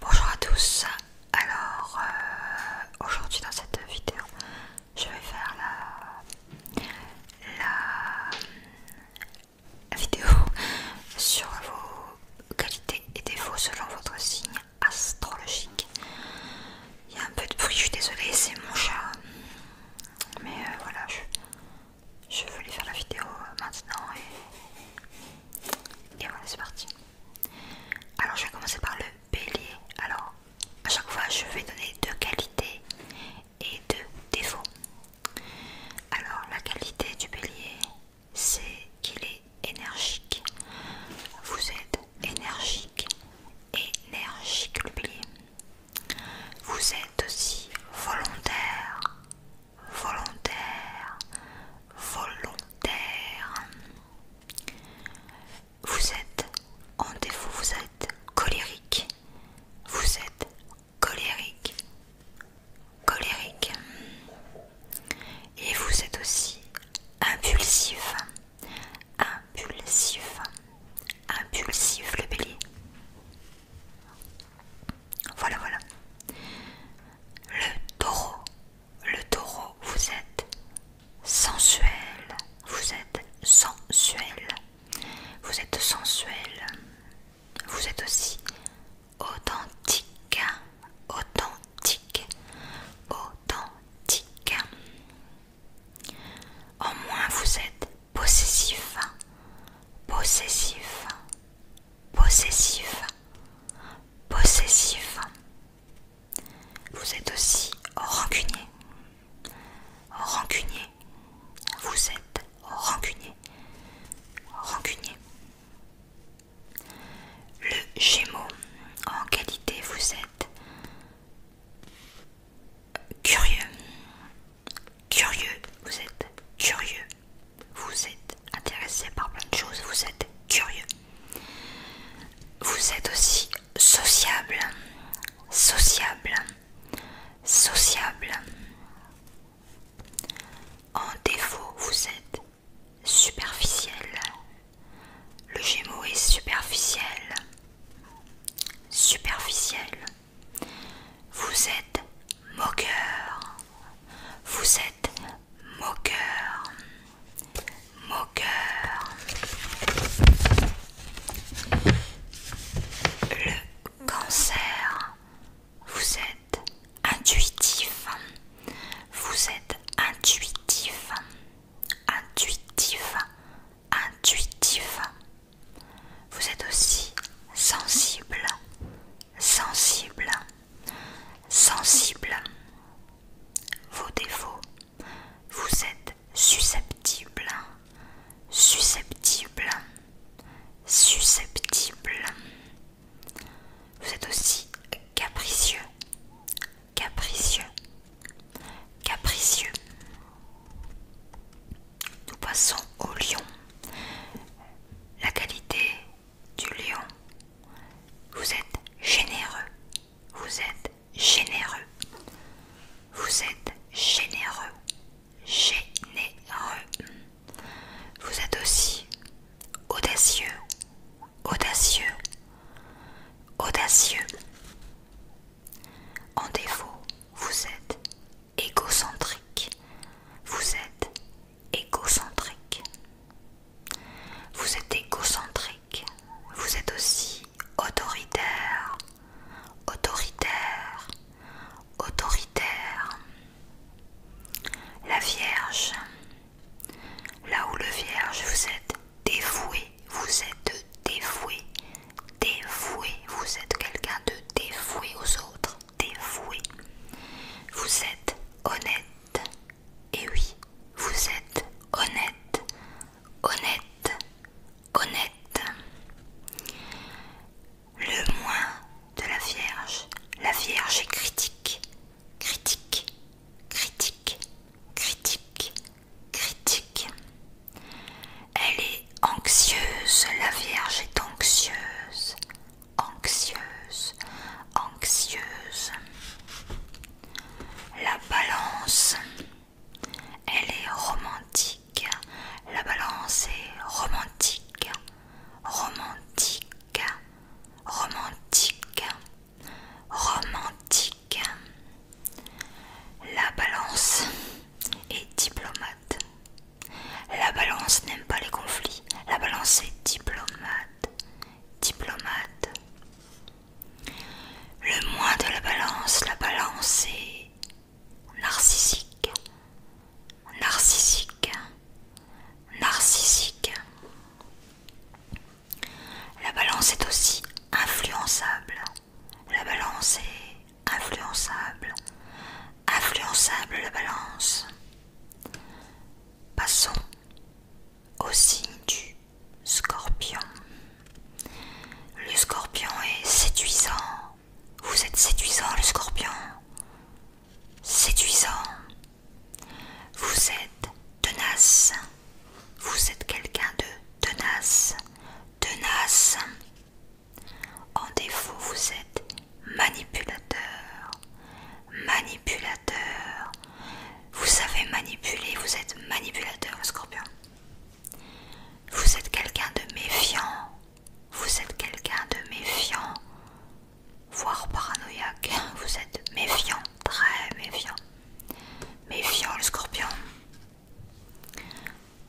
Bonjour à tous, alors euh, aujourd'hui dans cette vidéo je vais faire la, la vidéo sur vos qualités et défauts selon votre signe astrologique. Il y a un peu de bruit, je suis désolée, c'est mon chat, mais euh, voilà, je, vais voulais faire la vidéo maintenant et et voilà, c'est parti. Alors, je vais commencer par le bélier. Alors, à chaque fois, je vais donner deux qualités et deux défauts. Alors, la qualité du bélier, c'est qu'il est énergique. Vous êtes énergique, énergique le bélier. Vous êtes aussi volontaire, volontaire, volontaire. Vous êtes en défaut, vous êtes colérique, vous êtes colérique, colérique. Et vous êtes aussi impulsif, impulsif, impulsif le bélier. Voilà, voilà. Le taureau. Le taureau, vous êtes sensuel. Vous êtes sensuel. Vous êtes sensuel. Vous êtes aussi authentique. Authentique. Authentique. au moins, vous êtes possessif. Possessif possessif, possessif. Vous êtes aussi rancunier, rancunier. Vous êtes rancunier, rancunier. Le Gémeaux, en qualité, vous êtes curieux, curieux, vous êtes curieux, vous êtes intéressé par plein de choses, vous êtes curieux. Vous êtes aussi sociable, sociable, sociable. En défaut, vous êtes superficiel. Le Gémeau est superficiel. Superficiel. Vous êtes moqueur. Vous êtes moqueur. Moqueur. Le cancer. Vous êtes intuitif. Vous êtes intuitif. Intuitif. Intuitif. Vous êtes aussi sensible, sensible, sensible. Vos défauts, vous êtes susceptible, susceptible, susceptible. Vous êtes aussi capricieux, capricieux, capricieux. Nous passons au lion. La qualité du lion. Vous êtes généreux. Vous êtes généreux. Vous êtes généreux. Généreux. Vous êtes aussi audacieux. Audacieux. Audacieux. En défaut, vous êtes égocentrique. Vous êtes égocentrique. Vous êtes égocentrique. Vous êtes aussi autoritaire, autoritaire, autoritaire. La Vierge. Là où le Vierge, vous êtes dévoué, vous êtes dévoué, dévoué. Vous êtes quelqu'un de dévoué aux autres. Dévoué. Vous êtes honnête. Et oui, vous êtes honnête. Honnête. Honnête. Le moins de la Vierge. La Vierge est critique. Critique. Critique. Critique critique. Elle est anxieuse, la Vierge est anxieuse, anxieuse, anxieuse. La balance, elle est romantique, la balance est romantique, romantique, romantique, romantique. La balance est diplomate. La balance n'aime pas les conflits. La balance est diplomate. Diplomate. Le moins de la balance, la balance est narcissique. Narcissique. Narcissique. La balance est aussi influençable. La balance est influençable. Influençable la balance. Passons au signe du scorpion. Le scorpion est séduisant. Vous êtes séduisant le scorpion. Séduisant. Vous êtes tenace. Vous êtes quelqu'un de tenace, tenace. En défaut, vous êtes manipulateur, manipulateur. Vous savez manipuler, vous êtes manipulateur, scorpion. Vous êtes quelqu'un de méfiant, vous êtes quelqu'un de méfiant, voire paranoïaque. Vous êtes méfiant, très méfiant. Méfiant le scorpion.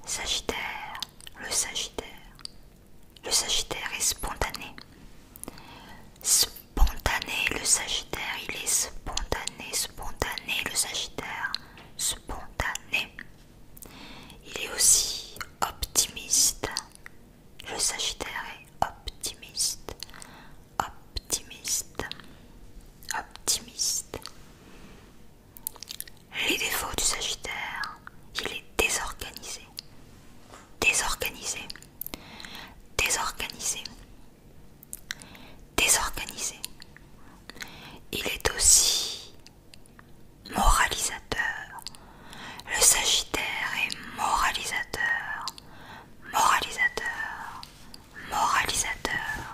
Sagittaire, le Sagittaire. Le Sagittaire est spontané. Spontané, le Sagittaire, il est spontané, spontané, le Sagittaire, spontané. Il est aussi optimiste. Le Sagittaire est optimiste. Optimiste optimiste. Optimiste. Les défauts du Sagittaire, il est désorganisé. Désorganisé. Désorganisé. Désorganisé. Il est aussi moralisateur. Le Sagittaire est moralisateur. Moralisateur moralisateur.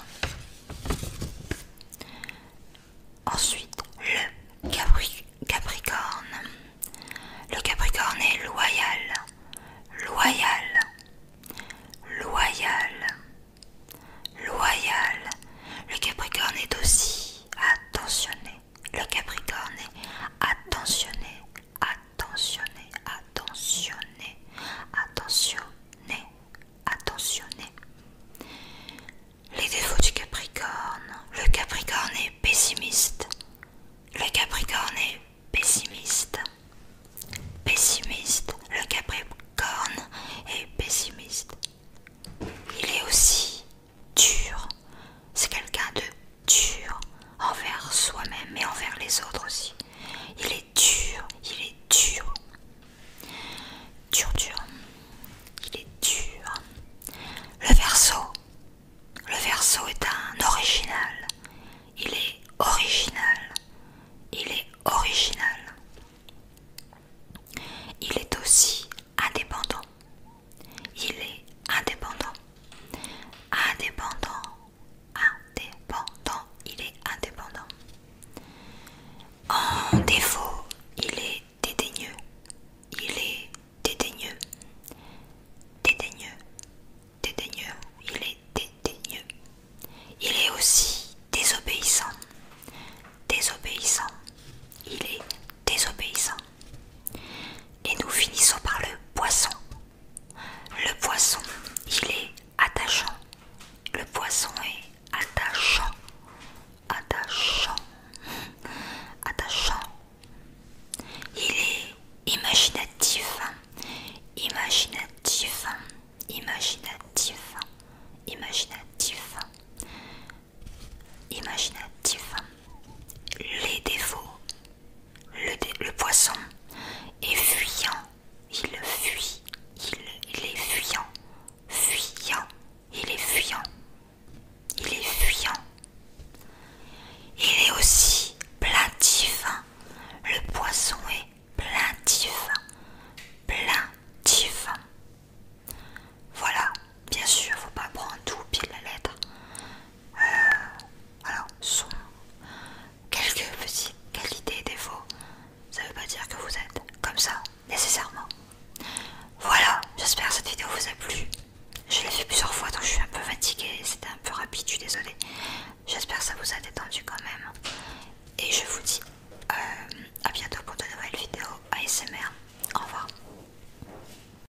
Ensuite, le Capricorne. Le Capricorne est loyal, loyal, loyal, loyal. Le Capricorne est aussi attentionné. Le Capricorne est attentionné, attentionné, attentionné, attentionné, attentionné. Les défauts du Capricorne. Le Capricorne est pessimiste. Le Capricorne est pessimiste. Pessimiste. Le Capricorne est pessimiste. Il est aussi dur. C'est quelqu'un de dur envers soi-même et envers les autres aussi. Il est dur, il est dur. Dur, dur. Il est dur. Le verso. Le verso est un original. Il est original. Il est original. Il est aussi indépendant. Il est indépendant. Indépendant indépendant, il est indépendant. En défaut, il est dédaigneux, il est dédaigneux, dédaigneux, dédaigneux, il est dédaigneux. Il est aussi désobéissant, désobéissant, il est désobéissant. Et nous finissons par le poisson, le poisson, il est attachant. Le poisson est attachant. Attachant. Attachant. Il est imaginatif. Imaginatif. Imaginatif. Imaginatif. Imaginatif. Les défauts le, poisson est fuyant, il fuit, il, est fuyant, fuyant, il est fuyant, il est fuyant. Il est aussi plaintif, le poisson est plaintif, plaintif. Voilà, bien sûr, il ne faut pas prendre tout au pied de la lettre. Euh, alors, son, quelques petites qualités et défauts. Ça ne veut pas dire que vous êtes comme ça, nécessairement. Voilà, j'espère que cette vidéo vous a plu. Je l'ai fait plusieurs fois, donc je suis un peu fatiguée. C'était un peu rapide, je suis désolée. J'espère que ça vous a détendu quand même. Et je vous dis euh, à bientôt pour de nouvelles vidéos ASMR. Au revoir.